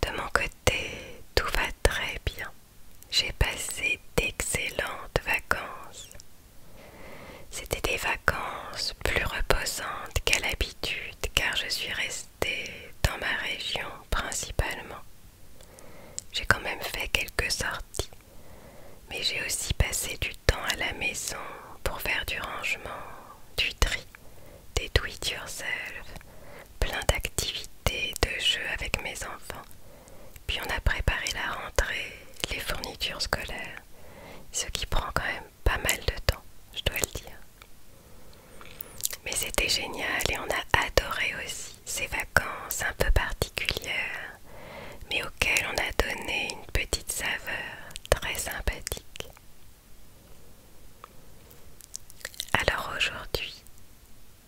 De mon côté, tout va très bien. J'ai passé d'excellentes vacances. C'était des vacances plus reposantes qu'à l'habitude car je suis restée dans ma région principalement. J'ai quand même fait quelques sorties, mais j'ai aussi passé du temps à la maison pour faire du rangement, du tri des do yourself plein d'activités, de jeux avec mes enfants. Puis on a préparé la rentrée, les fournitures scolaires, ce qui prend quand même pas mal de temps, je dois le dire. Mais c'était génial et on a adoré aussi ces vacances un peu particulières, mais auxquelles on a donné une petite saveur très sympathique. Alors aujourd'hui,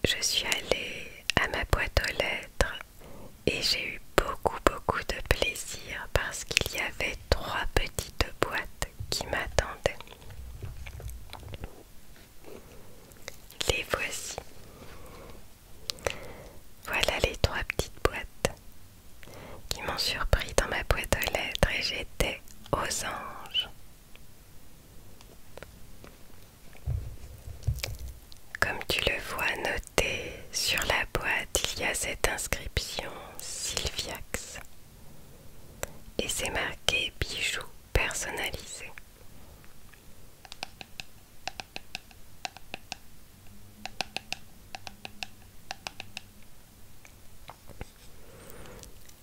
je suis allée à ma boîte aux lettres et j'ai eu beaucoup beaucoup de plaisir parce qu'il y avait trois petites boîtes qui m'attendaient. Les voici. Voilà les trois petites boîtes qui m'ont surpris dans ma boîte aux lettres et j'étais aux anges. Comme tu le vois noté sur la boîte, il y a cette inscription Sylviax et c'est marqué bijoux personnalisés.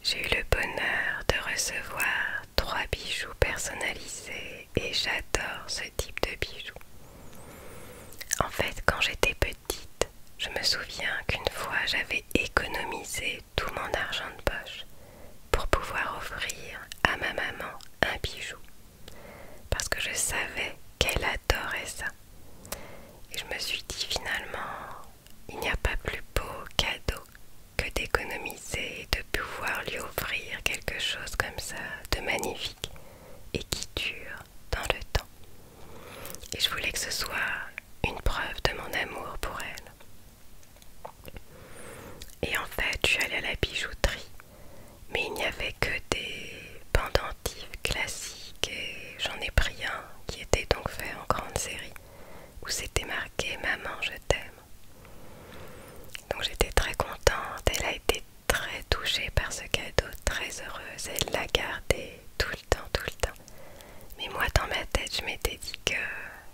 J'ai eu le bonheur de recevoir trois bijoux personnalisés et j'adore ce type de bijoux. En fait, quand j'étais petite, je me souviens qu'une fois j'avais économisé tout mon argent de poche pour pouvoir offrir à ma maman un bijou. Parce que je savais qu'elle adorait ça. Et je me suis dit finalement, il n'y a pas plus beau cadeau que d'économiser et de pouvoir lui offrir quelque chose comme ça de magnifique et qui dure dans le temps. Et je voulais que ce soit une preuve de mon amour pour elle. Et en fait, je suis allée à la bijouterie, mais il n'y avait que des pendentifs classiques et j'en ai pris un qui était donc fait en grande série où c'était marqué Maman, je t'aime. Donc j'étais très contente, elle a été très touchée par ce cadeau, très heureuse, elle l'a gardé tout le temps, tout le temps. Mais moi dans ma tête, je m'étais dit que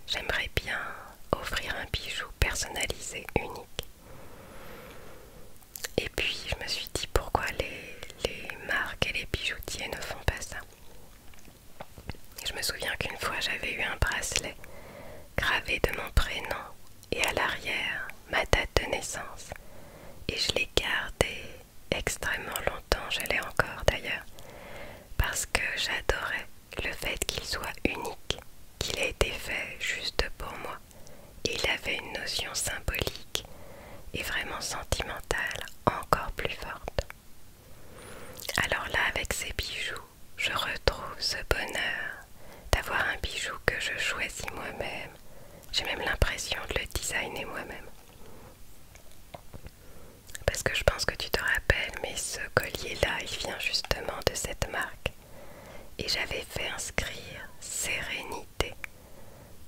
j'aimerais bien offrir un bijou personnalisé, unique. Et puis je me suis dit pourquoi les, les marques et les bijoutiers ne font pas ça. Je me souviens qu'une fois j'avais eu un bracelet gravé de mon prénom et à l'arrière ma date de naissance. Et je l'ai gardé extrêmement longtemps, j'allais l'ai encore d'ailleurs, parce que j'adorais le fait qu'il soit unique, qu'il ait été fait juste pour moi. Et il avait une notion symbolique et vraiment sentimentale encore plus forte. Alors là, avec ces bijoux, je retrouve ce bonheur d'avoir un bijou que je choisis moi-même. J'ai même l'impression de le designer moi-même. Parce que je pense que tu te rappelles, mais ce collier-là, il vient justement de cette marque. Et j'avais fait inscrire sérénité.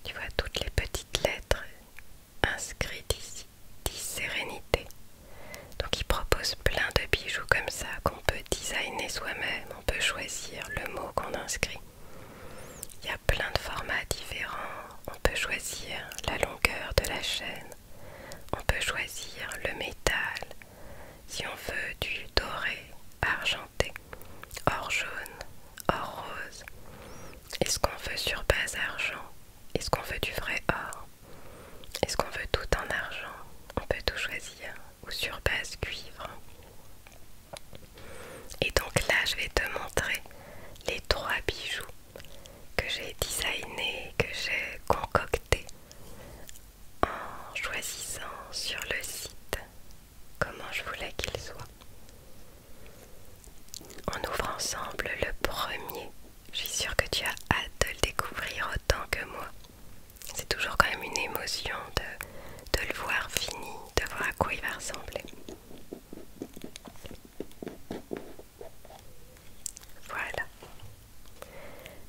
Tu vois toutes les petites lettres inscrit ici dis Donc il propose plein de bijoux comme ça qu'on peut designer soi-même, on peut choisir le mot qu'on inscrit. Il y a plein de formats différents, on peut choisir la longueur de la chaîne, on peut choisir le métal, si on veut du doré, argenté, or jaune, or rose. Est-ce qu'on veut sur base argent Est-ce qu'on veut du vrai or Est-ce qu'on veut tout en argent On peut tout choisir. Ou sur base cuivre. Et donc là, je vais te montrer les trois bijoux que j'ai designés, que j'ai concoctés en choisissant sur le site comment je voulais qu'ils soient. On ouvre ensemble le premier. Je suis sûre que tu as hâte de le découvrir autant que moi. C'est toujours quand même une émotion de, de le voir fini, de voir à quoi il va ressembler. Voilà.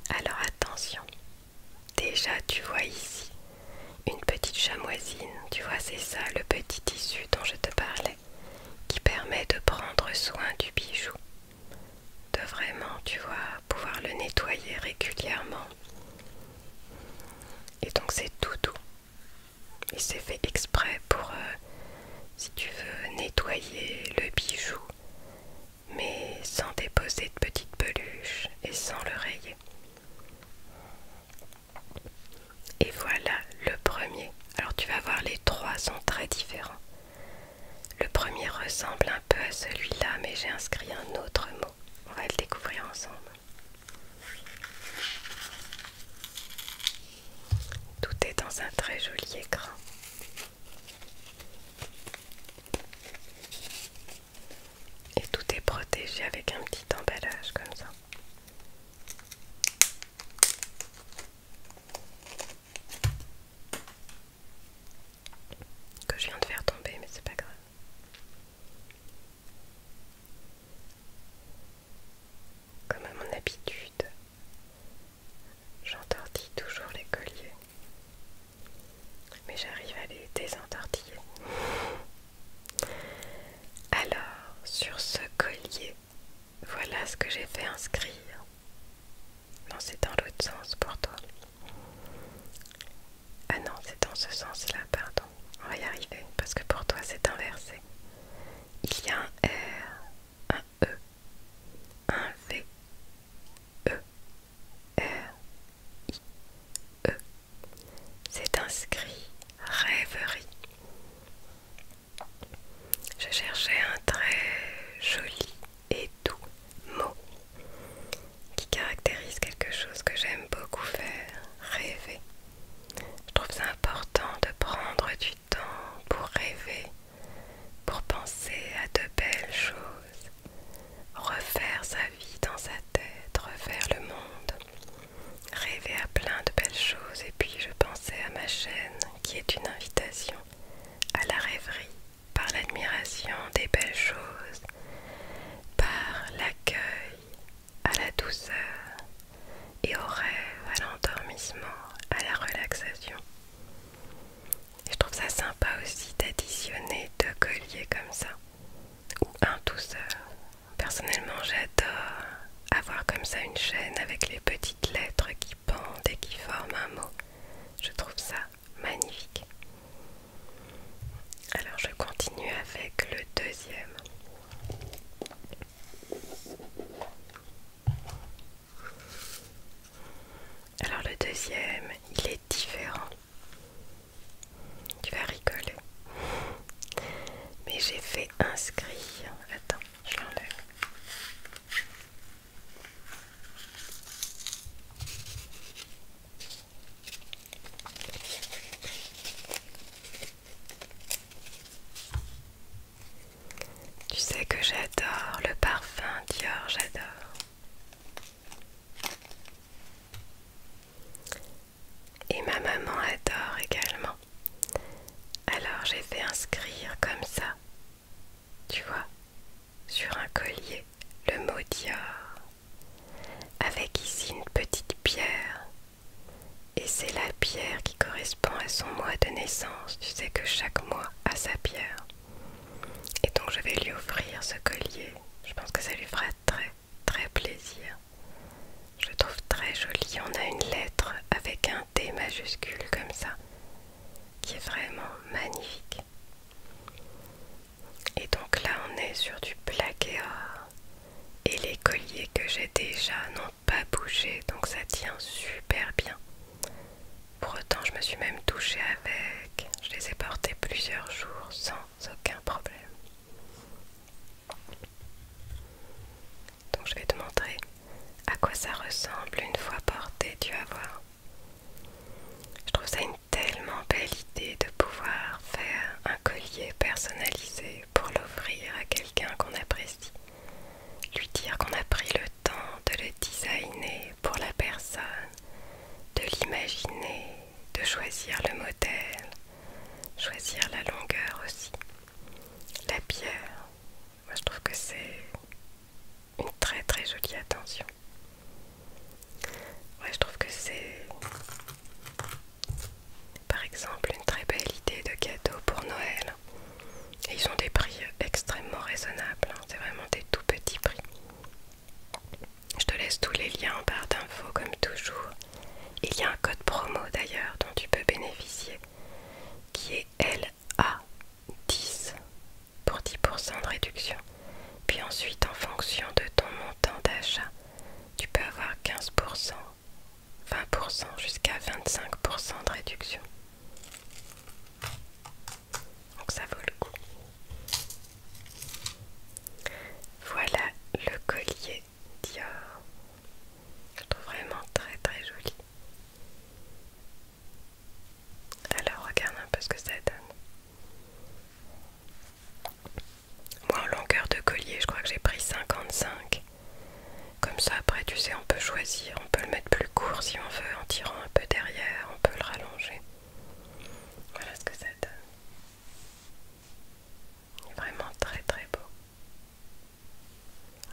Alors attention. Déjà tu vois ici une petite chamoisine. Tu vois c'est ça le petit tissu dont je te parlais qui permet de prendre soin du bijou, de vraiment, tu vois, pouvoir le nettoyer régulièrement. Et donc c'est tout doux. Il s'est fait exprès pour, euh, si tu veux, nettoyer le bijou, mais sans déposer de petites peluches et sans le rayer. Et voilà le premier. Alors tu vas voir, les trois sont très différents. Le premier ressemble un peu à celui-là, mais j'ai inscrit un autre mot. On va le découvrir ensemble. Tout est dans un très joli écran. Et tout est protégé avec un petit emballage comme ça que je viens de faire tomber, mais c'est pas grave. Comme à mon habitude, j'entortille toujours les colliers, mais j'arrive à les désentortiller. Alors, sur ce collier, voilà ce que j'ai fait inscrire. Non, c'est dans l'autre sens pour toi. Ah non, c'est dans ce sens-là, pardon. On va y arriver, parce que pour toi, c'est inversé. Il y a un R, un E, un V, E, R, I, E. C'est inscrit rêverie. Je cherchais un très joli et doux mot qui caractérise quelque chose que j'aime beaucoup faire, rêver. Je trouve important de prendre du temps pour rêver, pour penser à de belles choses, refaire sa vie dans sa tête, refaire le monde. Rêver à plein de belles choses et puis je pensais à ma chaîne qui est une invitation à la rêverie par l'admiration des belles choses, par l'accueil à la douceur et au rêve, à l'endormissement, à la relaxation. je trouve ça sympa aussi d'additionner deux colliers comme ça, ou un douceur Personnellement, j'adore avoir comme ça une chaîne avec les petites lettres qui pendent et qui forment un mot. Je trouve ça magnifique. Alors je continue avec le deuxième. Alors le deuxième, il est différent. Tu vas rigoler. Mais j'ai fait inscrire. Attends. Tu sais que j'adore le parfum Dior, j'adore. Et ma maman adore également. Alors j'ai fait inscrire comme ça, tu vois, sur un collier, le mot Dior, avec ici une petite pierre. Et c'est la pierre qui correspond à son mois de naissance. Tu sais que chaque mois a sa pierre. Et donc je vais lui offrir ce collier. Je pense que ça lui fera très très plaisir. Je trouve très joli. On a une lettre avec un T majuscule comme ça, qui est vraiment magnifique. Et donc là, on est sur du plaqué or. Et les colliers que j'ai déjà n'ont pas bougé, donc ça tient super bien. Pour autant, je me suis même touchée avec. Je les ai portés plusieurs jours sans aucun problème. Donc je vais te montrer à quoi ça ressemble une fois porté, tu vas voir. Je trouve ça une tellement belle idée de pouvoir faire un collier personnalisé pour l'offrir à quelqu'un qu'on apprécie. Lui dire qu'on a pris le temps de le designer pour la personne, de l'imaginer, de choisir le modèle, choisir la longueur aussi. La pierre, moi je trouve que c'est une très très jolie attention. je trouve que c'est par exemple une très belle idée de cadeau pour Noël. ils ont des prix extrêmement raisonnables, hein. c'est vraiment des tout petits prix. Je te laisse tous les liens en barre d'infos comme toujours. Il y a un code promo d'ailleurs dont tu peux bénéficier qui est LA10 pour 10% de réduction. Puis ensuite, en fonction de ton montant d'achat, tu peux avoir 15%, 20%, jusqu'à 25% de réduction. Donc ça vaut le coup. Voilà le collier Dior. Je trouve vraiment très très joli. Alors regarde un peu ce que ça donne. Moi en longueur de collier, je crois que j'ai pris 55. Comme ça après tu sais on peut choisir, on peut le mettre plus court si on veut en tirant un peu derrière, on peut le rallonger. Voilà ce que ça donne. Vraiment très très beau.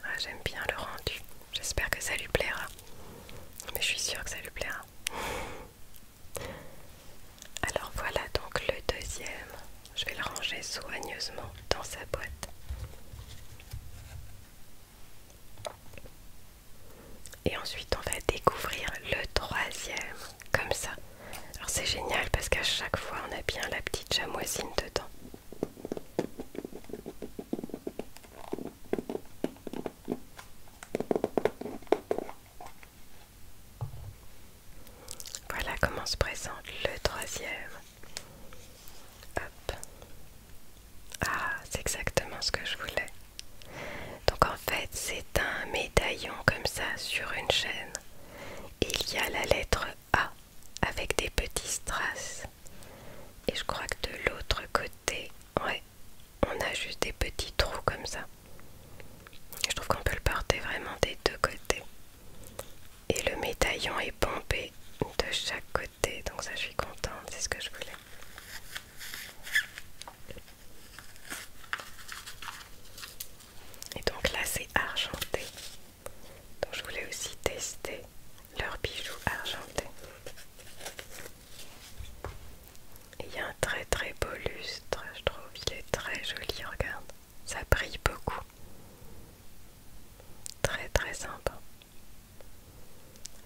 Ah, j'aime bien le rendu. J'espère que ça lui plaira. Mais je suis sûre que ça lui plaira. Alors voilà donc le deuxième. Je vais le ranger soigneusement dans sa boîte. Et ensuite on va découvrir le troisième, comme ça. Alors c'est génial parce qu'à chaque fois on a bien la petite chamoisine dedans. Voilà comment se présente le troisième. Ah, c'est exactement ce que je voulais. Donc en fait, c'est un médaillon comme ça sur une chaîne. il y a la lettre ah, avec des petits strass. Et je crois que de l'autre côté, ouais, on a juste des petits trous comme ça. Je trouve qu'on peut le porter vraiment des deux côtés. Et le médaillon est pompé de chaque côté, donc ça je suis contente, c'est ce que je voulais. Et donc là c'est argenté. Donc je voulais aussi tester leurs bijoux argentés. Il y a un très très beau lustre, je trouve. Il est très joli, regarde. Ça brille beaucoup. Très très sympa.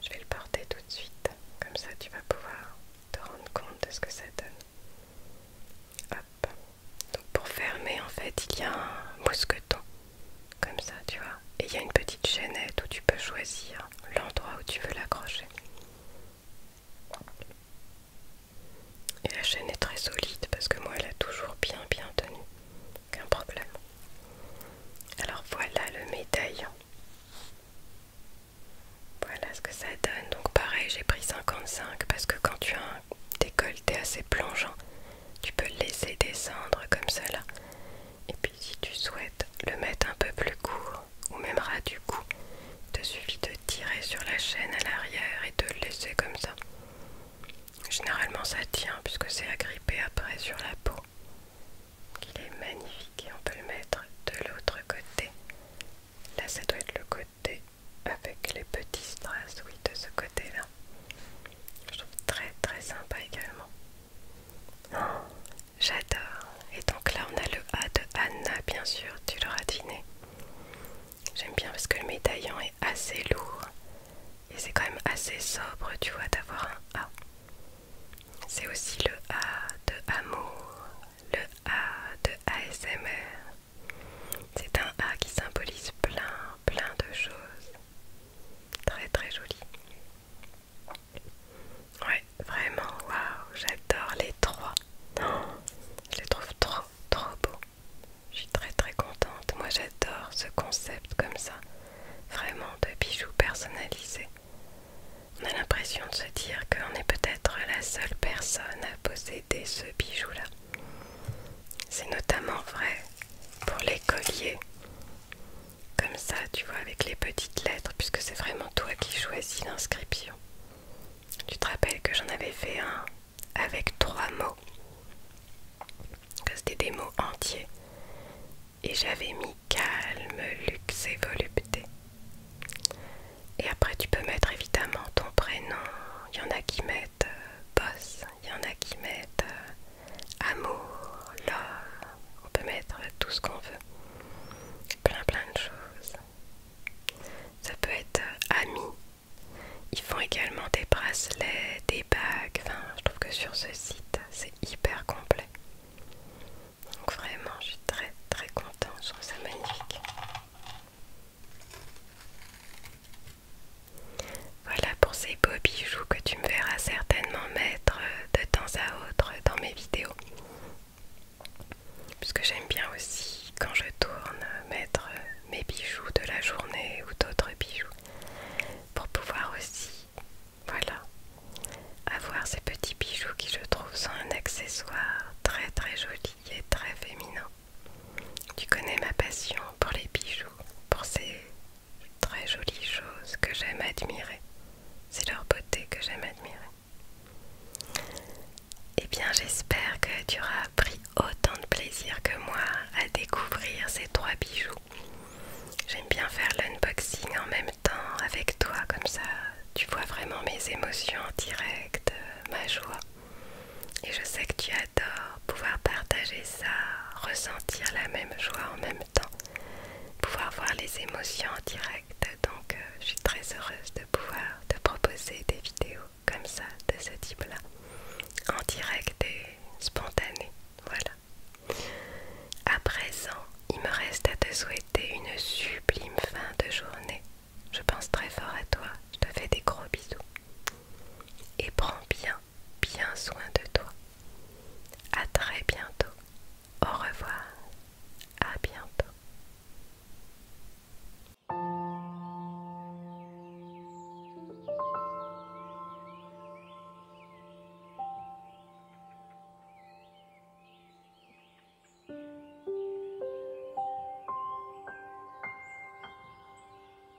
Je vais le porter tout de suite. Comme ça, tu vas pouvoir te rendre compte de ce que ça donne. Hop. Donc pour fermer en fait il y a un mousqueton comme ça tu vois et il y a une petite chaînette où tu peux choisir l'endroit où tu veux l'accrocher. Et la chaîne est très solide parce que moi elle a toujours bien bien tenu, aucun problème. Alors voilà le médaillon. Voilà ce que ça donne. Donc pareil, j'ai pris 55 parce que quand tu as décolleté assez plongeant. Tu peux le laisser descendre comme cela. Et puis si tu souhaites le mettre un peu plus court ou même ras du cou, te suffit de tirer sur la chaîne à l'arrière et de le laisser comme ça. Généralement ça tient puisque c'est agrippé après sur la peau. Il est magnifique et on peut le mettre de l'autre côté. Là ça doit être le côté avec les petits strass, de ce côté-là. Je trouve très très sympa également. Oh, j'adore. Et donc là, on a le A de Anna, bien sûr, tu l'auras dîné J'aime bien parce que le médaillon est assez lourd et c'est quand même assez sobre, tu vois, d'avoir un A. C'est aussi le A de amour, le A de ASMR, c'est un A qui symbolise plein, plein de choses. Très, très joli. Ouais, vraiment, waouh, j'adore les trois. Oh, je les trouve trop, trop beaux. Je suis très, très contente. Moi, j'adore ce concept comme ça. Vraiment, de bijoux personnalisés. On a l'impression de se dire qu'on est peut-être la seule personne à posséder ce bijou-là. C'est notamment vrai pour les colliers. Comme ça, tu vois, avec les petites lettres, puisque c'est vraiment toi qui choisis l'inscription. Tu te rappelles que j'en avais fait un avec trois mots. que C'était des mots entiers. Et j'avais mis calme, luxe et volupté. Et après, tu peux mettre évidemment ton prénom. Il y en a qui mettent euh, boss il y en a qui mettent euh, amour, l'or, on peut mettre tout ce qu'on veut, plein plein de choses. Ça peut être euh, amis. ami, ils font également des bracelets, des bagues, enfin je trouve que sur ce site c'est hyper complet. Donc vraiment je suis très très contente, je trouve ça magnifique. Voilà pour ces beaux bijoux que tu me verras certainement mettre de temps à autre dans mes vidéos. Puisque j'aime bien aussi, quand je tourne, mettre mes bijoux de la journée ou d'autres bijoux. Pour pouvoir aussi, voilà, avoir ces petits bijoux qui je trouve sont un accessoire très très joli et très féminin. Tu connais ma passion pour les bijoux, pour ces très jolies choses que j'aime admirer. C'est leur beauté que j'aime admirer. Eh bien, j'espère que tu auras pris autant de plaisir que moi à découvrir ces trois bijoux. J'aime bien faire l'unboxing en même temps avec toi, comme ça tu vois vraiment mes émotions en ma joie. Et je sais que tu adores pouvoir partager ça, ressentir la même joie en même temps, pouvoir voir les émotions en direct. Donc euh, je suis très heureuse de pouvoir te proposer des vidéos comme ça, de ce type-là, en direct et spontané. Voilà. À présent, il me reste à te souhaiter une sublime fin de journée. Je pense très fort à toi. Je te fais des gros bisous et prends bien, bien soin de toi. À très bientôt. Au revoir. À bientôt.